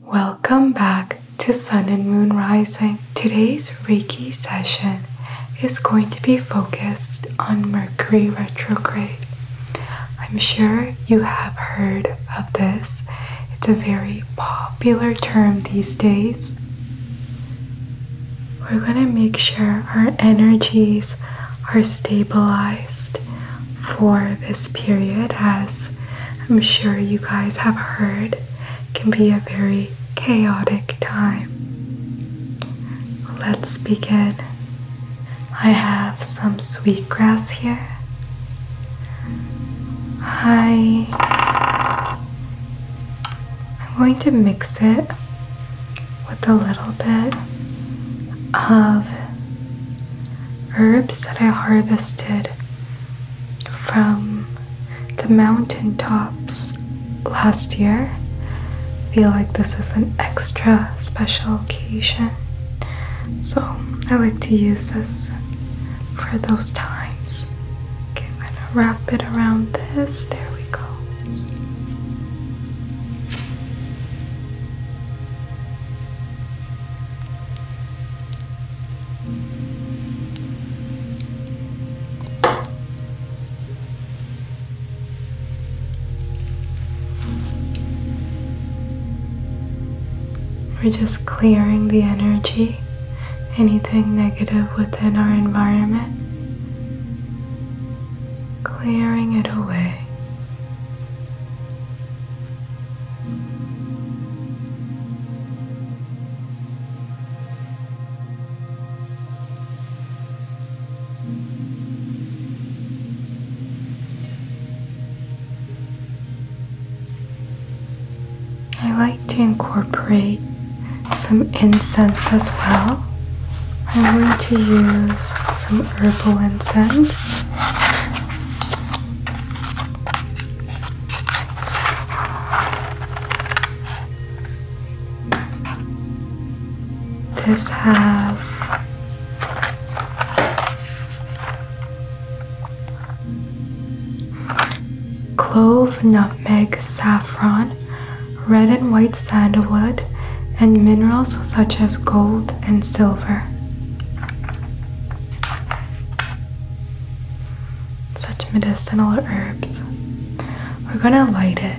Welcome back to Sun and Moon Rising. Today's Reiki session is going to be focused on Mercury retrograde. I'm sure you have heard of this, it's a very popular term these days. We're going to make sure our energies are stabilized, for this period, as I'm sure you guys have heard, can be a very chaotic time. Let's begin. I have some sweetgrass here. I I'm going to mix it with a little bit of herbs that I harvested from the mountain tops last year. feel like this is an extra special occasion. So I like to use this for those times. I'm gonna wrap it around this. There we go. We're just clearing the energy, anything negative within our environment, clearing it away. I like to incorporate some incense as well. I'm going to use some herbal incense. This has clove, nutmeg, saffron, red and white sandalwood, and minerals such as gold and silver such medicinal herbs. We're going to light it.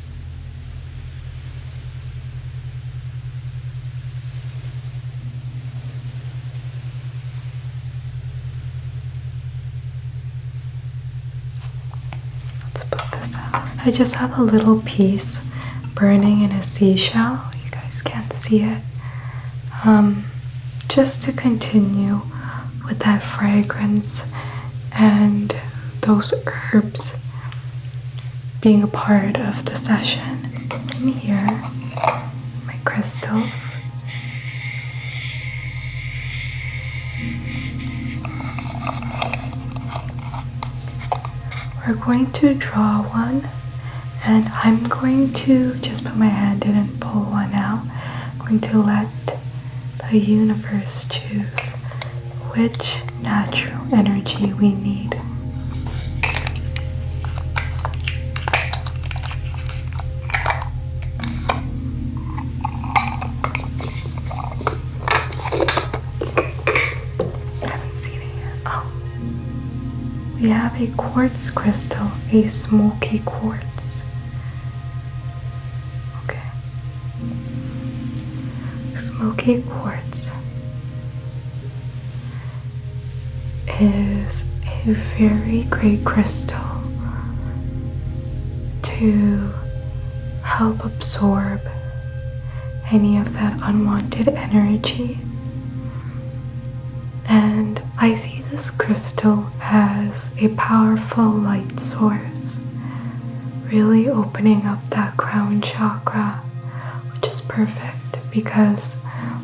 Let's put this out. I just have a little piece burning in a seashell. You guys can't see it. Um, just to continue with that fragrance and those herbs being a part of the session. And here, my crystals. We're going to draw one, and I'm going to just put my hand in and pull one out. I'm going to let the universe choose which natural energy we need. I haven't seen it Oh. We have a quartz crystal, a smoky quartz. Okay. Smoky quartz is a very great crystal to help absorb any of that unwanted energy. And I see this crystal as a powerful light source really opening up that crown chakra, which is perfect because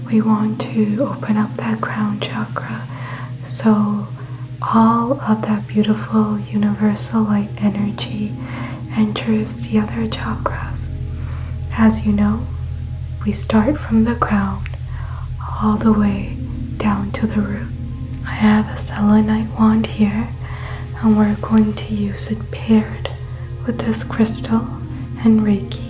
we want to open up that crown chakra so all of that beautiful universal light energy enters the other chakras. As you know, we start from the crown all the way down to the root. I have a selenite wand here and we're going to use it paired with this crystal and Reiki.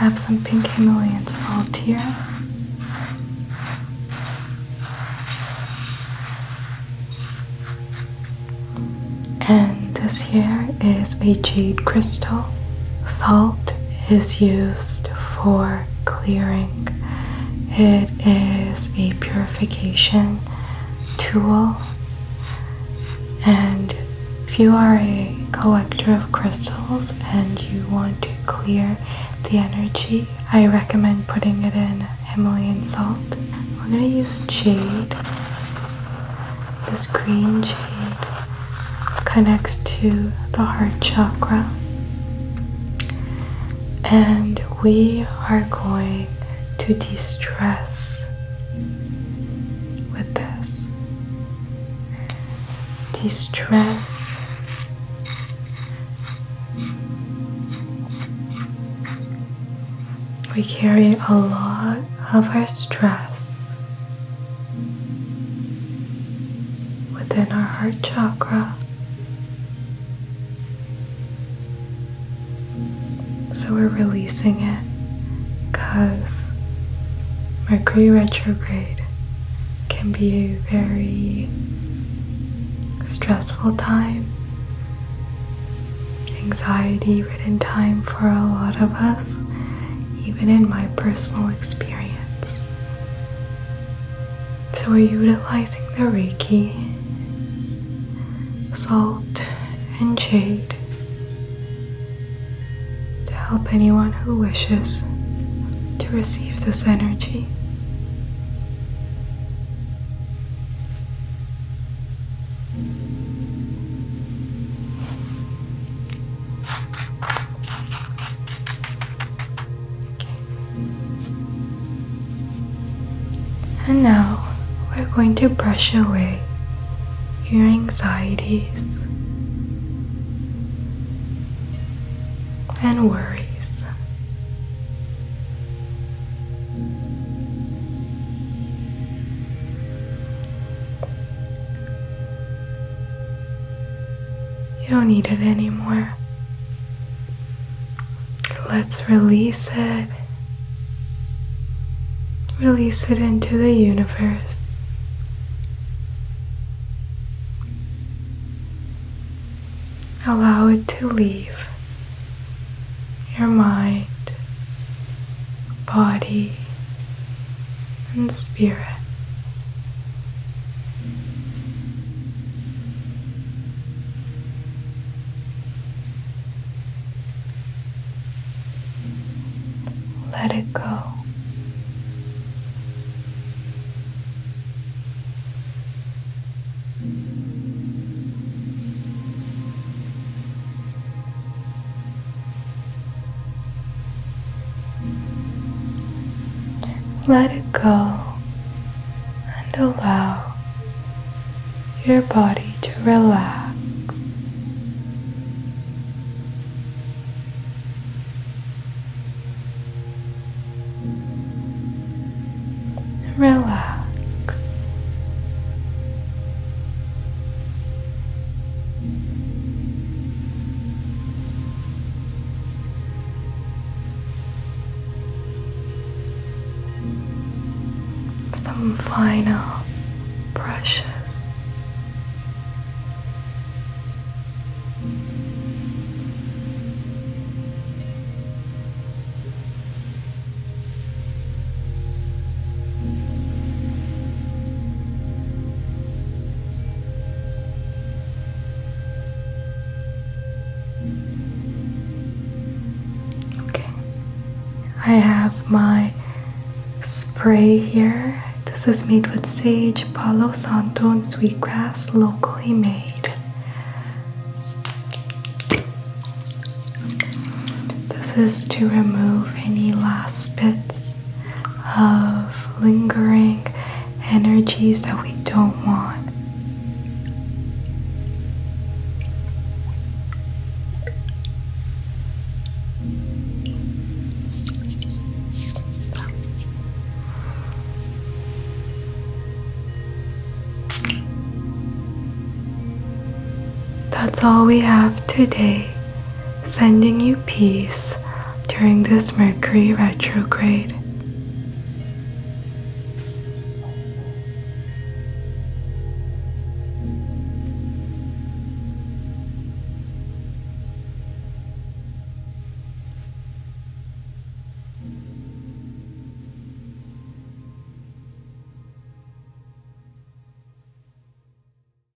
I have some pink Himalayan salt here. And this here is a jade crystal. Salt is used for clearing, it is a purification tool. And if you are a collector of crystals and you want to clear the energy, I recommend putting it in Himalayan salt. We're going to use jade this green jade connects to the heart chakra. And we are going to distress with this. distress. We carry a lot of our stress within our heart chakra. So we're releasing it because Mercury retrograde can be a very stressful time, anxiety ridden time for a lot of us even in my personal experience. So, we're utilizing the Reiki, salt, and jade to help anyone who wishes to receive this energy. And now we're going to brush away your anxieties and worries. You don't need it anymore. Let's release it. Release it into the universe. Allow it to leave your mind body, and spirit. Let it go. Let it go and allow your body to relax. Relax. Some final brushes. Okay, I have my spray here. This is made with sage, palo santo, and sweetgrass, locally made. This is to remove any last bits of lingering energies that we don't want. That's all we have today sending you peace during this Mercury retrograde.